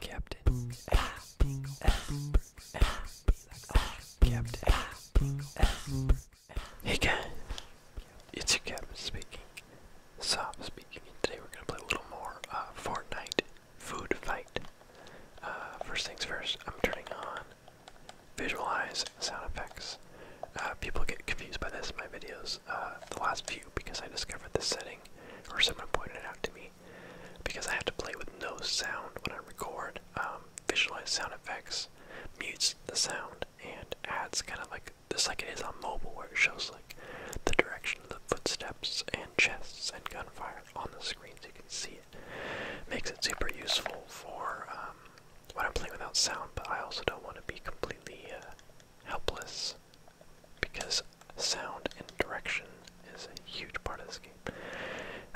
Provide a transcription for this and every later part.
Captain Captain Hey it's your captain speaking. Soft speaking. Today we're gonna play a little more uh, Fortnite food fight. Uh, first things first, I'm turning on visualize sound effects. Uh, people get confused by this in my videos, the last few, because I discovered this setting, or someone pointed it out to me because I have to play with no sound when I record. Um, visualize sound effects, mutes the sound, and adds kind of like this, like it is on mobile, where it shows like the direction of the footsteps and chests and gunfire on the screen, so you can see it. Makes it super useful for um, when I'm playing without sound, but I also don't want to be completely uh, helpless because sound and direction is a huge part of this game.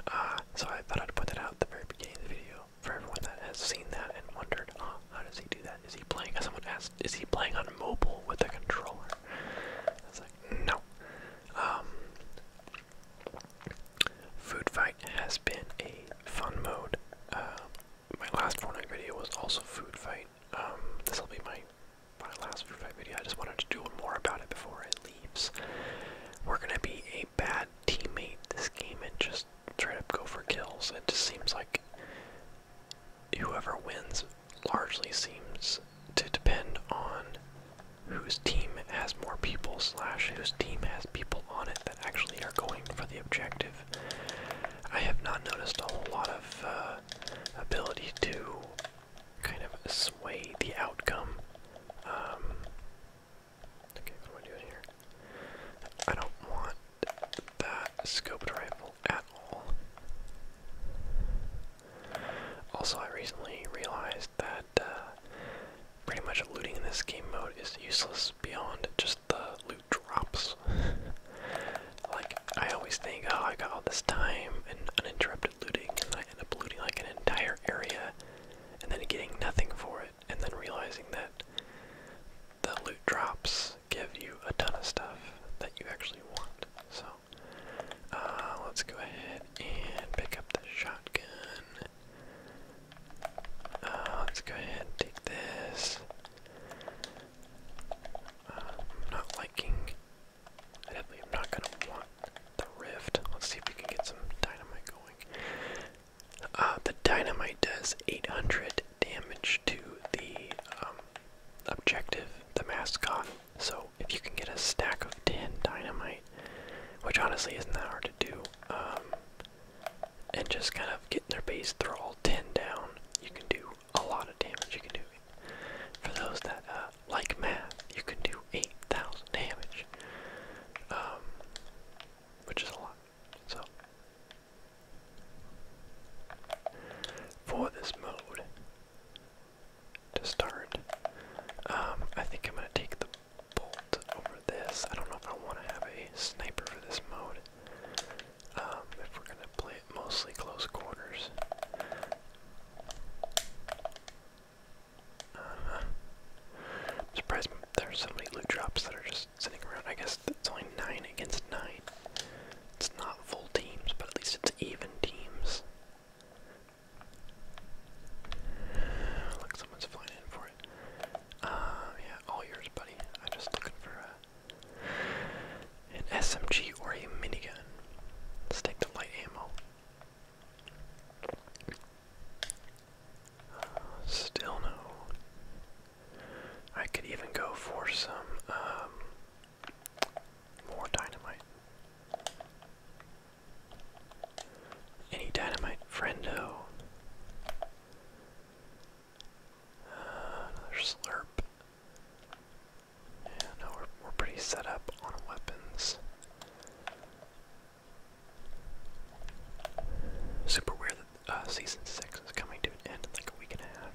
Uh, so I thought I'd put that out at the very beginning of the video for everyone that has seen that and wondered, how does he do that? Is he playing, someone asked, is he playing on mobile with a controller? I was like, no. Um, Food Fight has been a fun mode. Uh, my last Fortnite video was also Food Fight, um, this will be my my last Fruit Fight video. I just wanted to do one more about it before it leaves. We're gonna be a bad teammate this game and just try to go for kills. It just seems like whoever wins largely seems to depend on whose team has more people slash whose team has people on it that actually are going for the objective. I have not noticed a whole lot of uh, ability to kind of sway the outcome. Um, okay, what am I doing here? I don't want that scoped rifle at all. Also, I recently realized that uh, pretty much looting in this game mode is useless beyond just the loot drops. Like, I always think, oh, I got all this time and uninterrupted looting, and I end up looting like an entire area and then getting nothing for it, and then realizing that the loot drops give you a ton of stuff that you actually want. So, uh, let's go ahead and pick up the shotgun. Uh, let's go ahead take this. Um, not liking I definitely am not going to want the rift. Let's see if we can get some dynamite going. Uh, the dynamite does 800 damage to the um, objective, the mascot. So if you can get a stack of 10 dynamite, which honestly isn't that hard to do, um, and just kind of getting their base, throw all 10 down, you can do a lot of damage. You can do, for those that uh, like math, you can do 8,000 damage, um, which is a lot. So, for this mode to start, um, I think I'm going to take the bolt over this. I don't know if I want to have a sniper for this mode. Um, if we're going to play mostly close quarters. Uh -huh. there's so many loot drops that are just sitting around. I guess it's only 9 against 9. It's not full teams, but at least it's even teams. Look, someone's flying in for it. Uh, yeah, all yours, buddy. i just looking for uh, an SMG or a minigun. Let's take the light ammo. still no. I could even go for some um, more dynamite. Any dynamite, friendo. Uh, another slurp. Yeah, no, we're, we're pretty set up on weapons. Super weird that uh, season 6 is coming to an end in like a week and a half.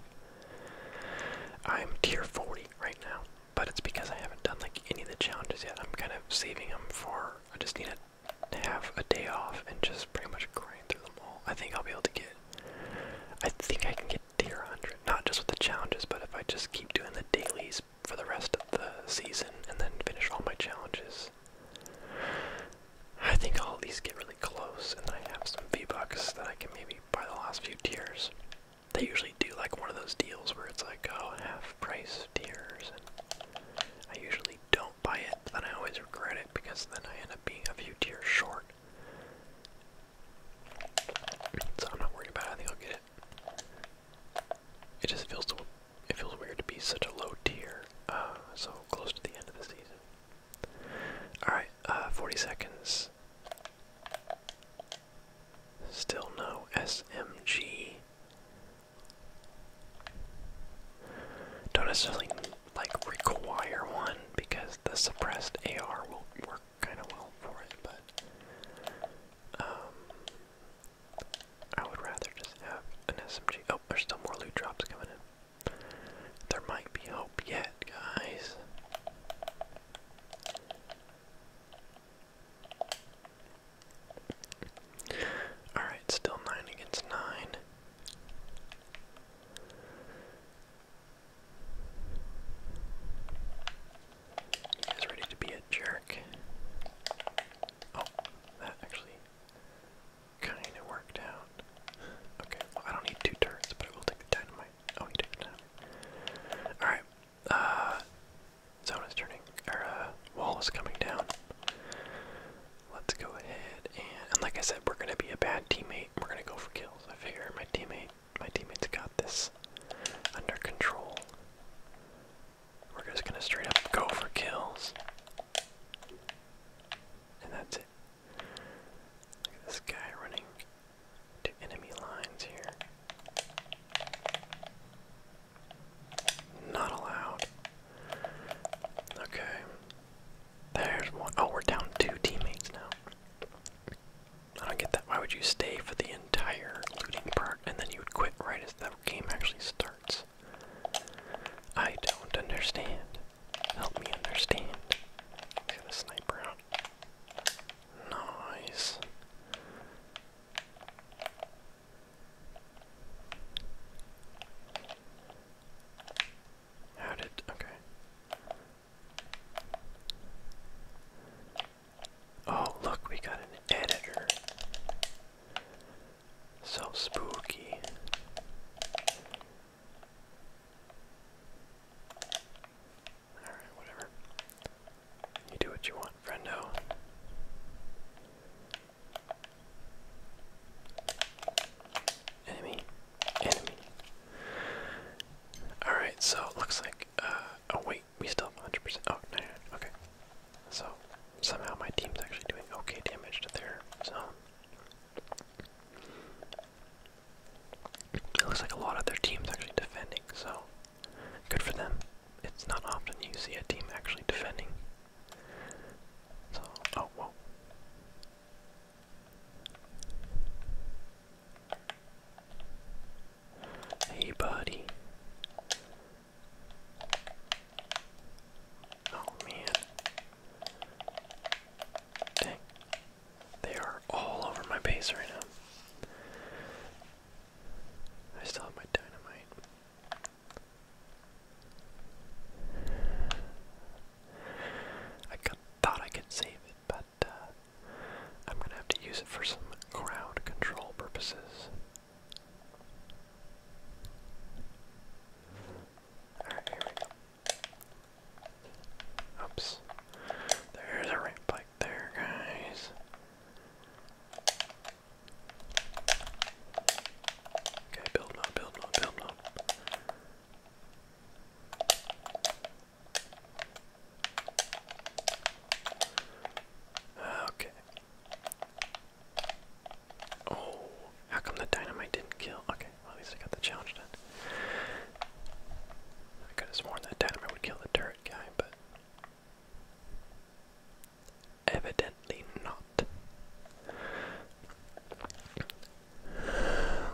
I'm tier 40 right now, but it's because I haven't done like any of the challenges yet. I'm kind of saving them for, I just need to have a day off and just pretty much grind through them all. I think I'll be able to get, I think I can get tier 100. Not just with the challenges, but if I just keep doing the dailies for the rest of the season and then finish all my challenges, I think I'll at least get really close. And I have some V-Bucks that I can maybe buy the last few tiers. They usually do like one of those deals where it's like, oh, half price tiers. And I usually don't buy it, but then I always regret it because then I end up being a few tiers short. So I'm not worried about it. I think I'll get it. It just feels so, it feels weird to be such a low tier, uh, so close to the end of the season. All right, uh, 40 seconds. Still no SMG. Don't necessarily like require one because the suppressed AR will work kind of well for it, but um, I would rather just have an SMG. Oh, there's still more loot drops coming in. There might be hope yet, guys. Alright, still 9 against 9. He's ready to be a jerk. Oh, that actually kind of worked out. Okay, well, I don't need two turns, but I will take the dynamite. Oh, he took the dynamite. Alright, uh, zone is turning, Our uh, wall is coming down. Let's go ahead and, and like I said, we're going to be a bad teammate. We're going to go for kills. I figure my teammate my teammates got this under control. We're just gonna straight up go for kills. And that's it. Look at this guy running to enemy lines here. Not allowed. Okay. There's one. Oh, we're down two teammates now. I don't get that. Why would you stay for the entire looting part and then you would quit right as the game actually starts? I don't understand. Help me understand. Got a sniper out. Nice. How did okay? Oh, look, we got an editor. So spooky. Alright, whatever. You do what you want, friendo. Enemy. Enemy. Alright, so it looks like uh, oh wait, we still have 100%. Oh, no, okay. So, somehow my team's actually doing okay damage to their So It looks like a lot of their team's actually defending, so good for them. It's not often you see a team actually defending. So, oh, whoa. Hey, buddy. Oh, man. Dang. They are all over my base right now. I still have my dynamite. I thought I could save it, but uh, I'm going to have to use it for some crowd control purposes. Alright, here we go. Oops. There's a ramp bike there, guys. Okay, build mode, build mode, build mode. Okay. Oh, how come the dynamite didn't kill? Okay, well, at least I got the challenge done. I could have sworn that dynamite would kill the turret guy, but evidently not.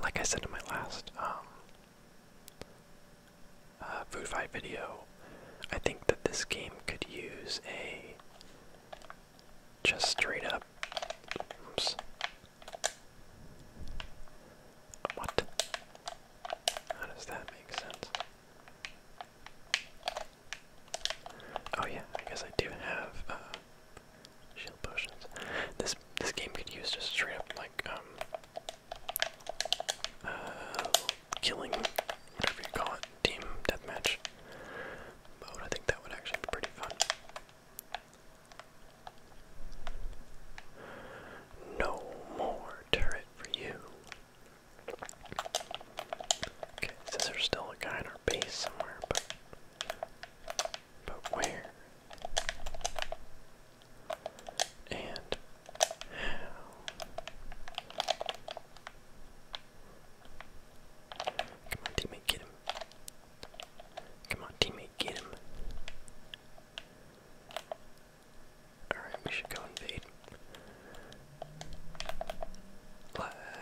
Like I said in my last um, uh, food fight video. I think that this game could use a just straight up. Oops. What? How does that make sense? Oh yeah, I guess I do have uh, shield potions. This this game could use just straight up like um uh, killing, whatever you call it, team deathmatch mode. I think that would actually be pretty fun. No more turret for you. Okay, since there's still a guy in our base somewhere, but but where? and Come on, teammate, get him. Come on, teammate, get him. Alright, we should go invade.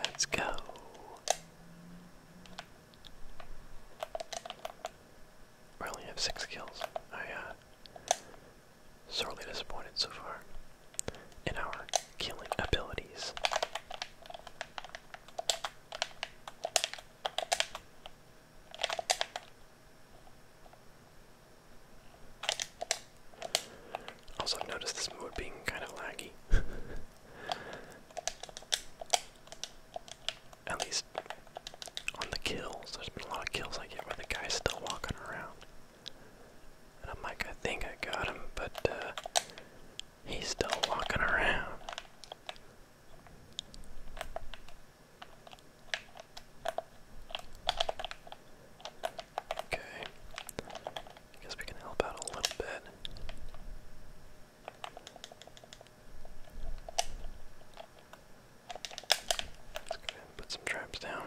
Let's go. I only have six kills. I, uh, sorely disappointed so far in our killing abilities. Also, I've noticed this mode being kind of laggy. At least on the kills. There's been a lot of kills I get where the guy's still walking around. And I'm like, I think I got him, but uh, he's still walking around. Okay. I guess we can help out a little bit. And put some traps down.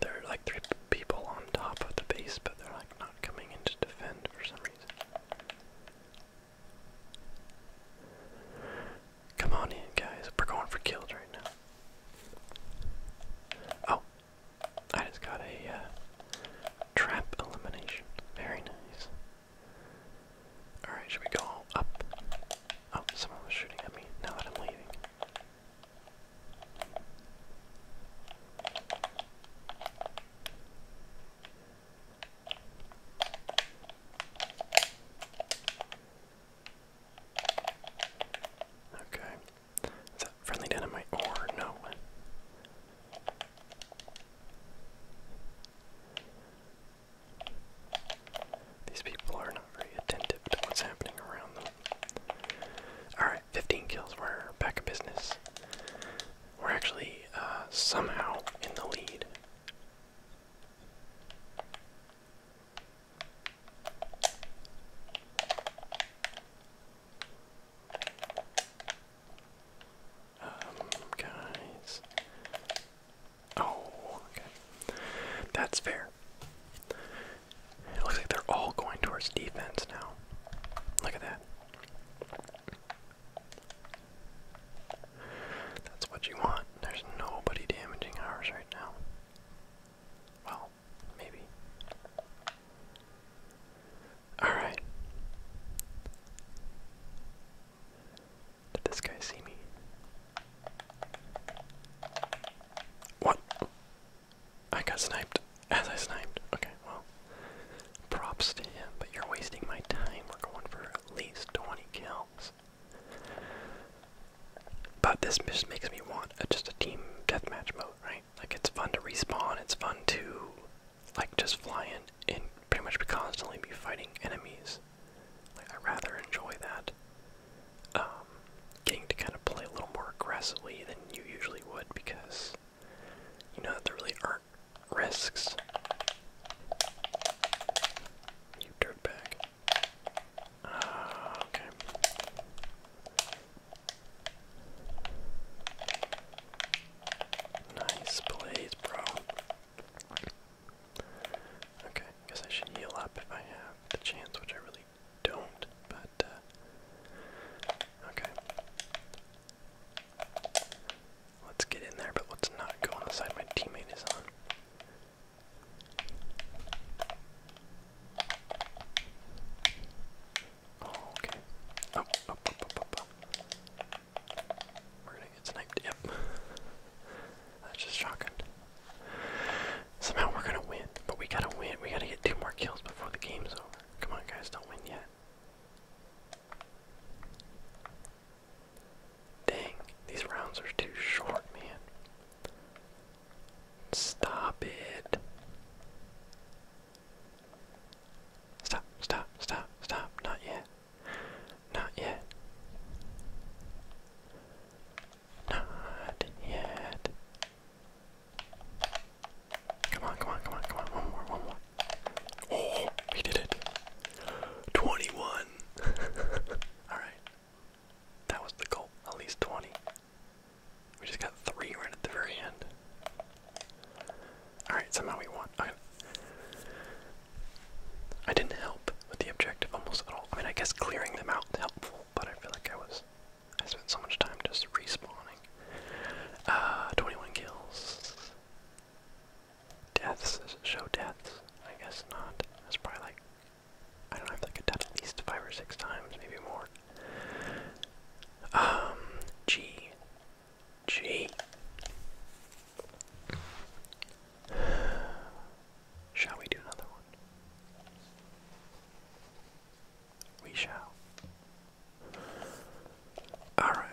There are like three people on top of the base, but they're like not coming in to defend for some reason. Come on in, guys. We're going for kills right now. Oh, I just got a uh, trap elimination. Very nice. Alright, should we go up? Oh, someone was shooting at me now that I'm leaving. Okay, friendly dynamite or no? These people are not very attentive to what's happening around them. Alright, 15 kills. We're back in business. We're actually uh, somehow in the lead. Um, guys. Oh, okay. That's fair. It looks like they're all going towards defense now. Look at that. That's what you want. There's nobody damaging ours right now. Well, maybe. Alright. Did this guy see me? What? I got sniped as I sniped. Okay, well. Props to him, but you're wasting my time. We're going for at least 20 kills. But this just makes me want just a team deathmatch mode, right? Like it's fun to respawn, it's fun to like just flying and pretty much constantly be fighting enemies. Like I rather enjoy that. Um getting to kind of play a little more aggressively than you usually would because you know that there really are risks. You dirtbag. Uh, okay. Nice plays, bro. Okay, I guess I should heal up if I have the chance, which I really don't, but, uh, okay. Let's get in there, but let's not go on the side my teammate is on okay. Up, up, up, up, up, up. We're gonna get sniped. Yep. That's just shocking. Somehow we're gonna win, but we gotta win. We gotta get two more kills before the game's over. Come on, guys, don't win yet. Dang, these rounds are too short, man. Stop it. Stop, stop, stop, stop. Not yet. Not yet. Not yet. Come on, come on, come on, come on. One more, one more. Oh, we did it. 21. Alright. That was the goal. At least 20. We just got three right at the very end. Alright, somehow we won. I didn't help with the objective almost at all. I mean, I guess clearing them out helpful, but I feel like I was. I spent so much time just respawning. Ah, 21 kills. Deaths. show deaths? I guess not. That's probably like. I don't know, I have like at least five or six times, maybe more. Um, G, G. Shall we do another one? We shall. Alright.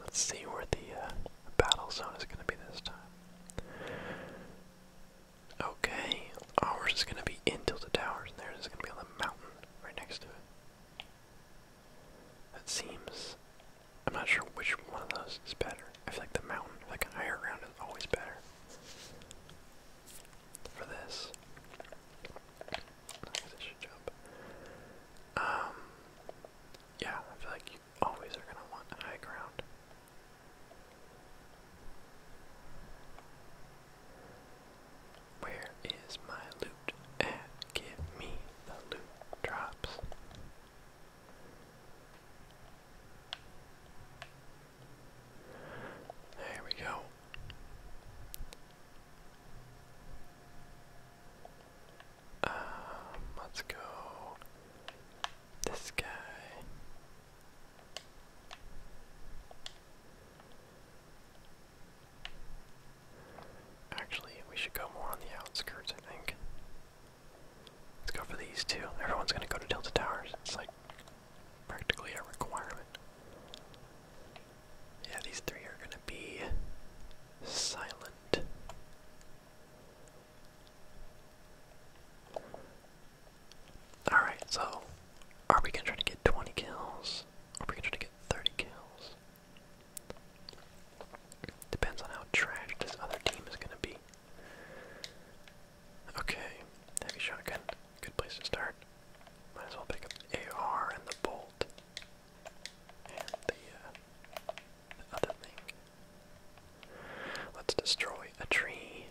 Let's see where the uh, battle zone is going to be this time. Okay, ours oh, is gonna be in Tilted Towers, and theirs is gonna be on the mountain right next to it. That seems. I'm not sure which one of those is better. I feel like the mountain, like a higher ground, is always better for this. Um, yeah, I feel like you always are gonna want high ground. Where is my loot at? Give me the loot drops. There we go. Um, let's go. This guy. Actually, we should go more on the outskirts, I think. Let's go for these two. Everyone's gonna go to Delta Towers. It's like practically a requirement. Yeah, these three are gonna be silent. Alright, so are we gonna try to get 20 kills? Or are we gonna try to get 30 kills? Depends on how trash this other team is gonna be. Okay, heavy shotgun. Good place to start. Might as well pick up the AR and the bolt. And the, uh, other thing. Let's destroy a tree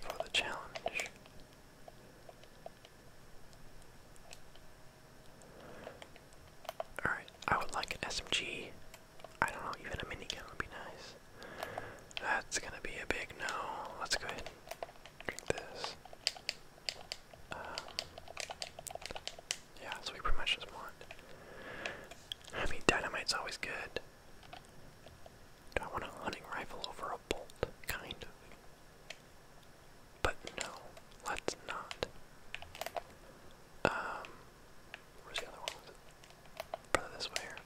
for the challenge. Alright, I would like an SMG. I don't know, even a minigun would be nice. That's gonna be a big no. Let's go ahead drink this. Um, yeah, so we pretty much just want I mean, dynamite's always good. Do I want a hunting rifle over a bolt? Kind of. But no, let's not. Um, where's the other one? Was this way here.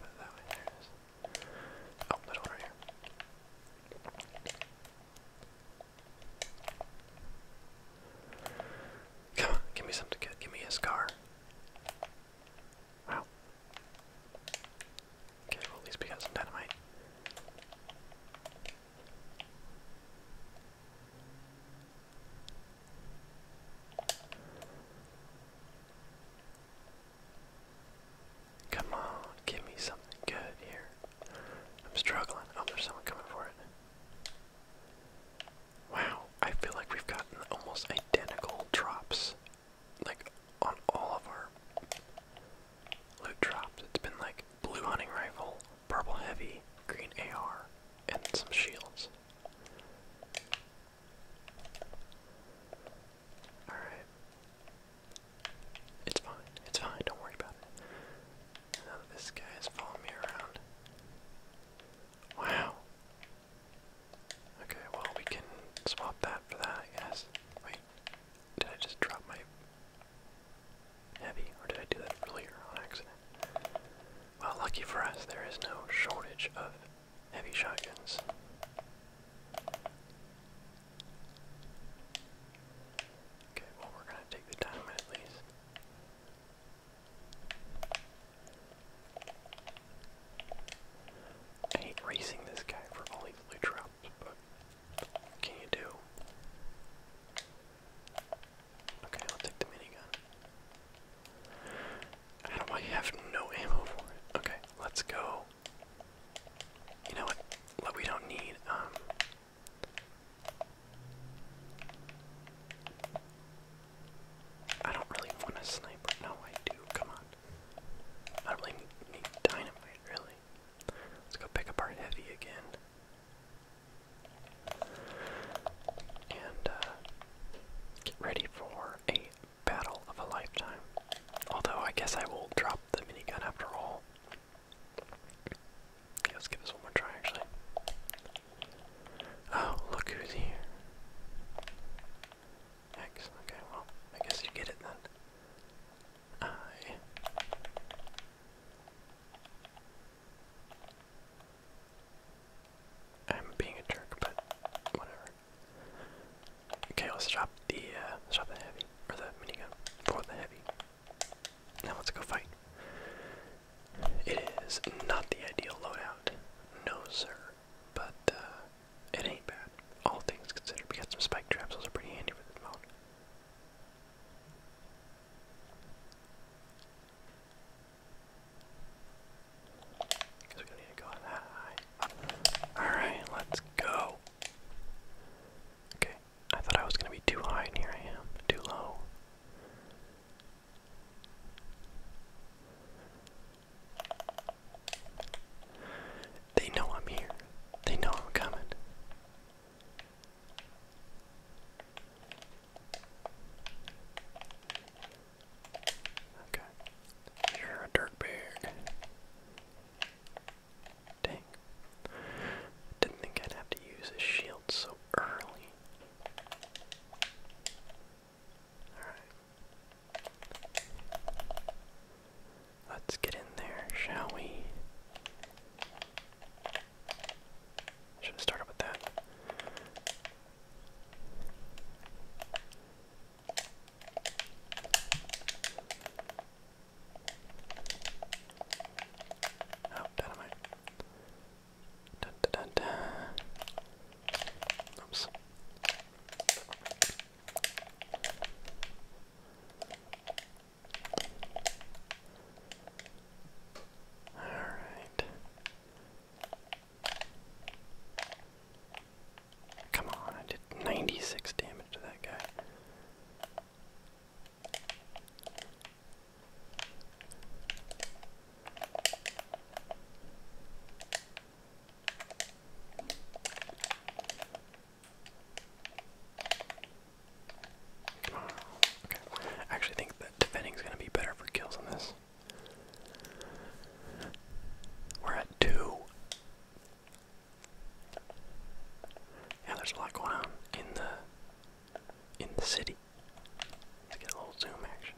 Brother, that way. There Oh, little right here. Come on, give me something good. Give me a scar. Wow. Okay, at least we got dynamite. Come on, give me something good here. I'm struggling. Oh, there's someone coming for it. Wow, I feel like we've gotten almost identical drops. Like on all of our loot drops. It's been like blue hunting rifle, purple heavy, green AR, and some shields. Alright. It's fine. It's fine. Don't worry about it. Now this guy is following me around. Wow. Okay, well, we can swap that for that, I Wait, did I just drop my heavy, or did I do that earlier on accident? Well, lucky for us, there is no shortage of heavy shotguns. Okay, well, we're gonna take the diamond at least. I hate racing this guy for all these blue drops, but what can you do? Okay, I'll take the minigun. How do I have no ammo for it? Okay, let's go. You know what? What we don't need, um, I don't really want a sniper. No, I do. Come on. I don't really need dynamite, really. Let's go pick up our heavy again. And uh, get ready for a battle of a lifetime. Although, I guess I will drop the mini gun after all. let's give this one more try, actually. Oh, look who's here. X, okay, well, I guess you get it then. I. I'm being a jerk, but whatever. Okay, let's drop the, uh, drop the heavy, or the minigun, for the heavy. Now let's go fight. It is not the ideal loadout, no sir, but uh, it ain't bad. All things considered, we got some spike traps, those are pretty handy for this mode. Guess we're gonna need to go that high. Alright, let's go. Okay, I thought I was gonna be too high, and here I am, too low. They know I'm here. They know I'm coming. Okay. You're a dirtbag. Dang. Didn't think I'd have to use a shield so early. Alright. Let's get in there, shall we? Should have started with that. Oh, dynamite. Oops. All right. Come on, I did 96 damage to that guy. I actually think that defending is going to be better for kills on this. We're at two. Yeah, there's a lot going on in the in the city get a little zoom action.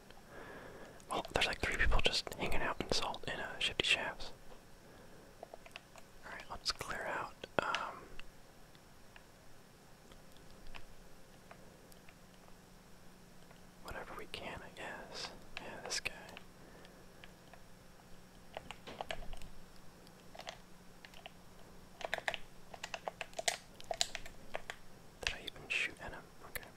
Well, there's like three people just hanging out in salt in uh, shifty shafts. Alright, let's clear out. Um, whatever we can, I guess. Yeah, this guy. Did I even shoot at him? Okay.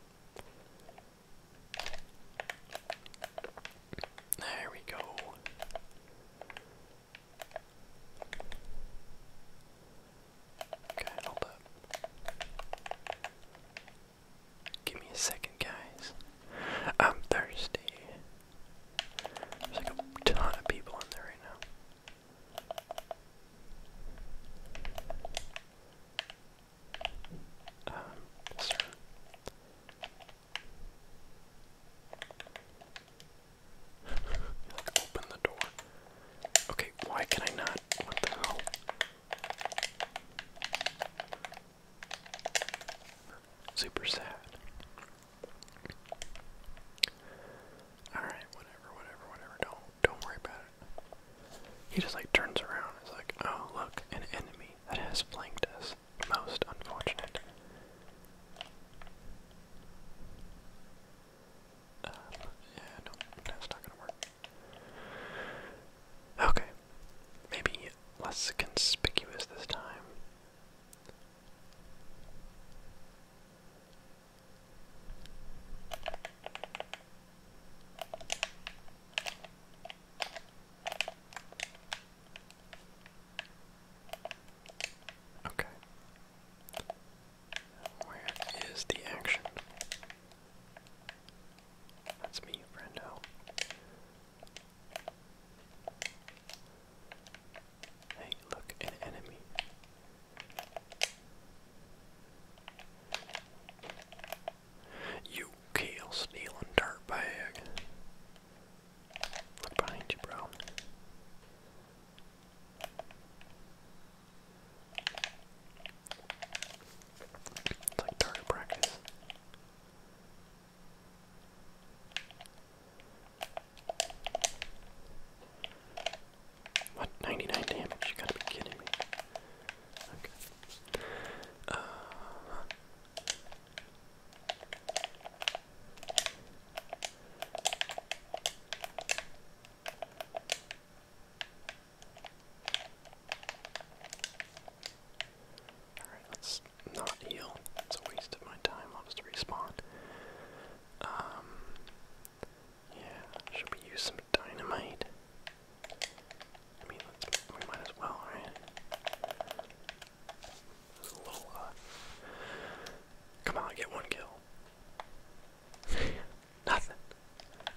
There we go. Okay, hold up. Give me a second, guys. I'm thirsty. There's like a ton of people in there right now open the door. Okay, why can I not? What the hell? Super sad. Alright, whatever, whatever, whatever. Don't don't worry about it. He just like turns around and is like, oh look, an enemy that has flanked us. Most unfortunate. Um, yeah, no, that's not gonna work. Okay. Maybe less conspicuous this time. Okay. Where is the action? That's me, Brando. Hey, look, an enemy. You kale stealing dirt bag. behind you, bro. It's like target practice. What? 99 damage? You gotta be kidding me. Okay. Uh-huh. Alright, let's not heal. It's a waste of my time. I'll just respond. Um, yeah, should we use some dynamite? I mean, let's, we might as well, right? It's a little, uh, Come on, get one kill. Nothing.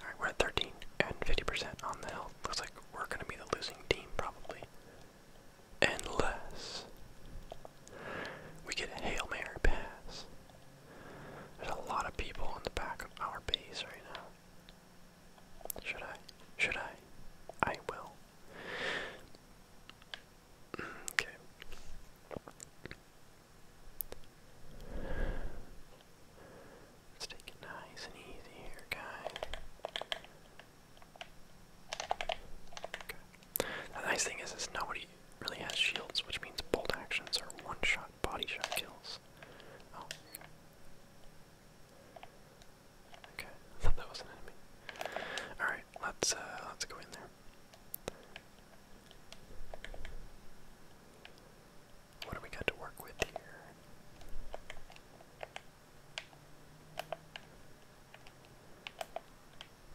Alright, we're at 13 and 50% on the health. Looks like we're gonna be the losing team, probably. Unless we get a Hail Mary pass. There's a lot of people in the back of our base right now. Should I? Should I? I will. Mm, okay. Let's take it nice and easy here, guys. Okay. The nice thing is, is nobody really has shields, which means bolt actions are one-shot body shot kills. Oh. Okay, I thought that was an enemy. Alright, let's uh, let's go in there. What do we got to work with here?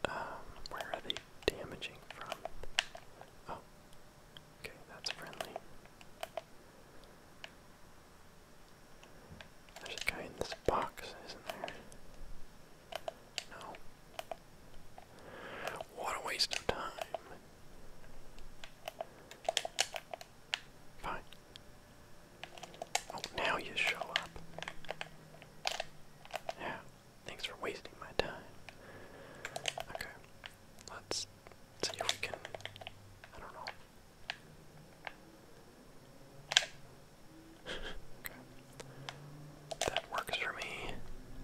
Um, where are they damaging from? Oh, Okay, that's friendly. There's a guy in this box, isn't there? No. What a waste of time. Fine. Oh, now you show up. Yeah, Thanks for wasting my time. Okay, let's see if we can. I don't know. okay. That works for me.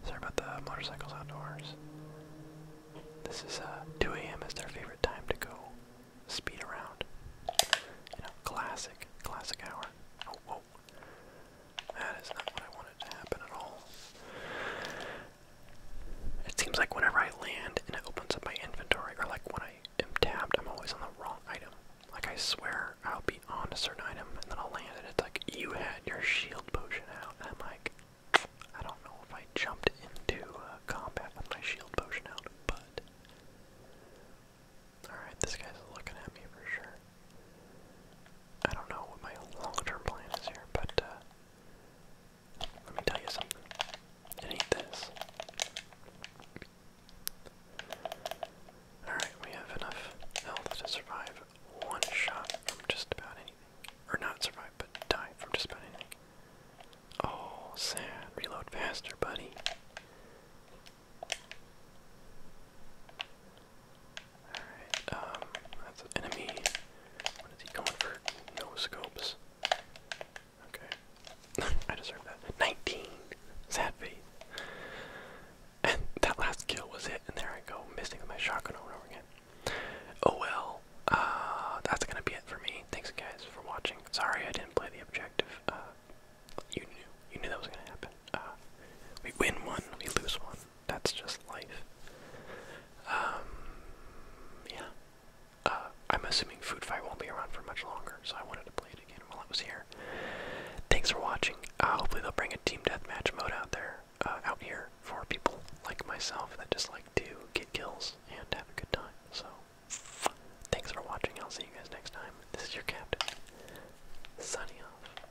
Sorry about the motorcycles outdoors. This is uh, 2 a.m. is their favorite time to go speed around. You know, classic, classic hour. Oh, that is not what I wanted to happen at all. It seems like whenever I land and it opens up my inventory, or like when I am tabbed, I'm always on the wrong item. Like I swear I'll be on a certain item and then i land and it's like, you had your shield potion out. I'm like, I don't know if I jumped into uh, combat with my shield potion out, but. Alright, this guy's looking at me for sure. I don't know what my long-term plan is here, but uh, let me tell you something. It this. Alright, we have enough health to survive one shot from just about anything. Or not survive, but die from just about anything. Oh, sad. Reload faster, buddy. Alright, um, that's an enemy. What is he going for? No scopes. Okay. I deserve that. 19! Sad face. And that last kill was it, and there I go, missing with my shotgun over and over again. Oh well, uh, that's gonna be it for me. Thanks guys for watching. Sorry I didn't play the objective. Uh, you knew, you knew that was gonna happen. Uh, we win one, we lose one that's just life. Um, yeah. Uh, I'm assuming Food Fight won't be around for much longer, so I wanted to play it again while I was here. Thanks for watching. Uh, hopefully they'll bring a team deathmatch mode out there, uh, out here for people like myself that just like to get kills and have a good time. So, thanks for watching. I'll see you guys next time. This is your captain, signing off.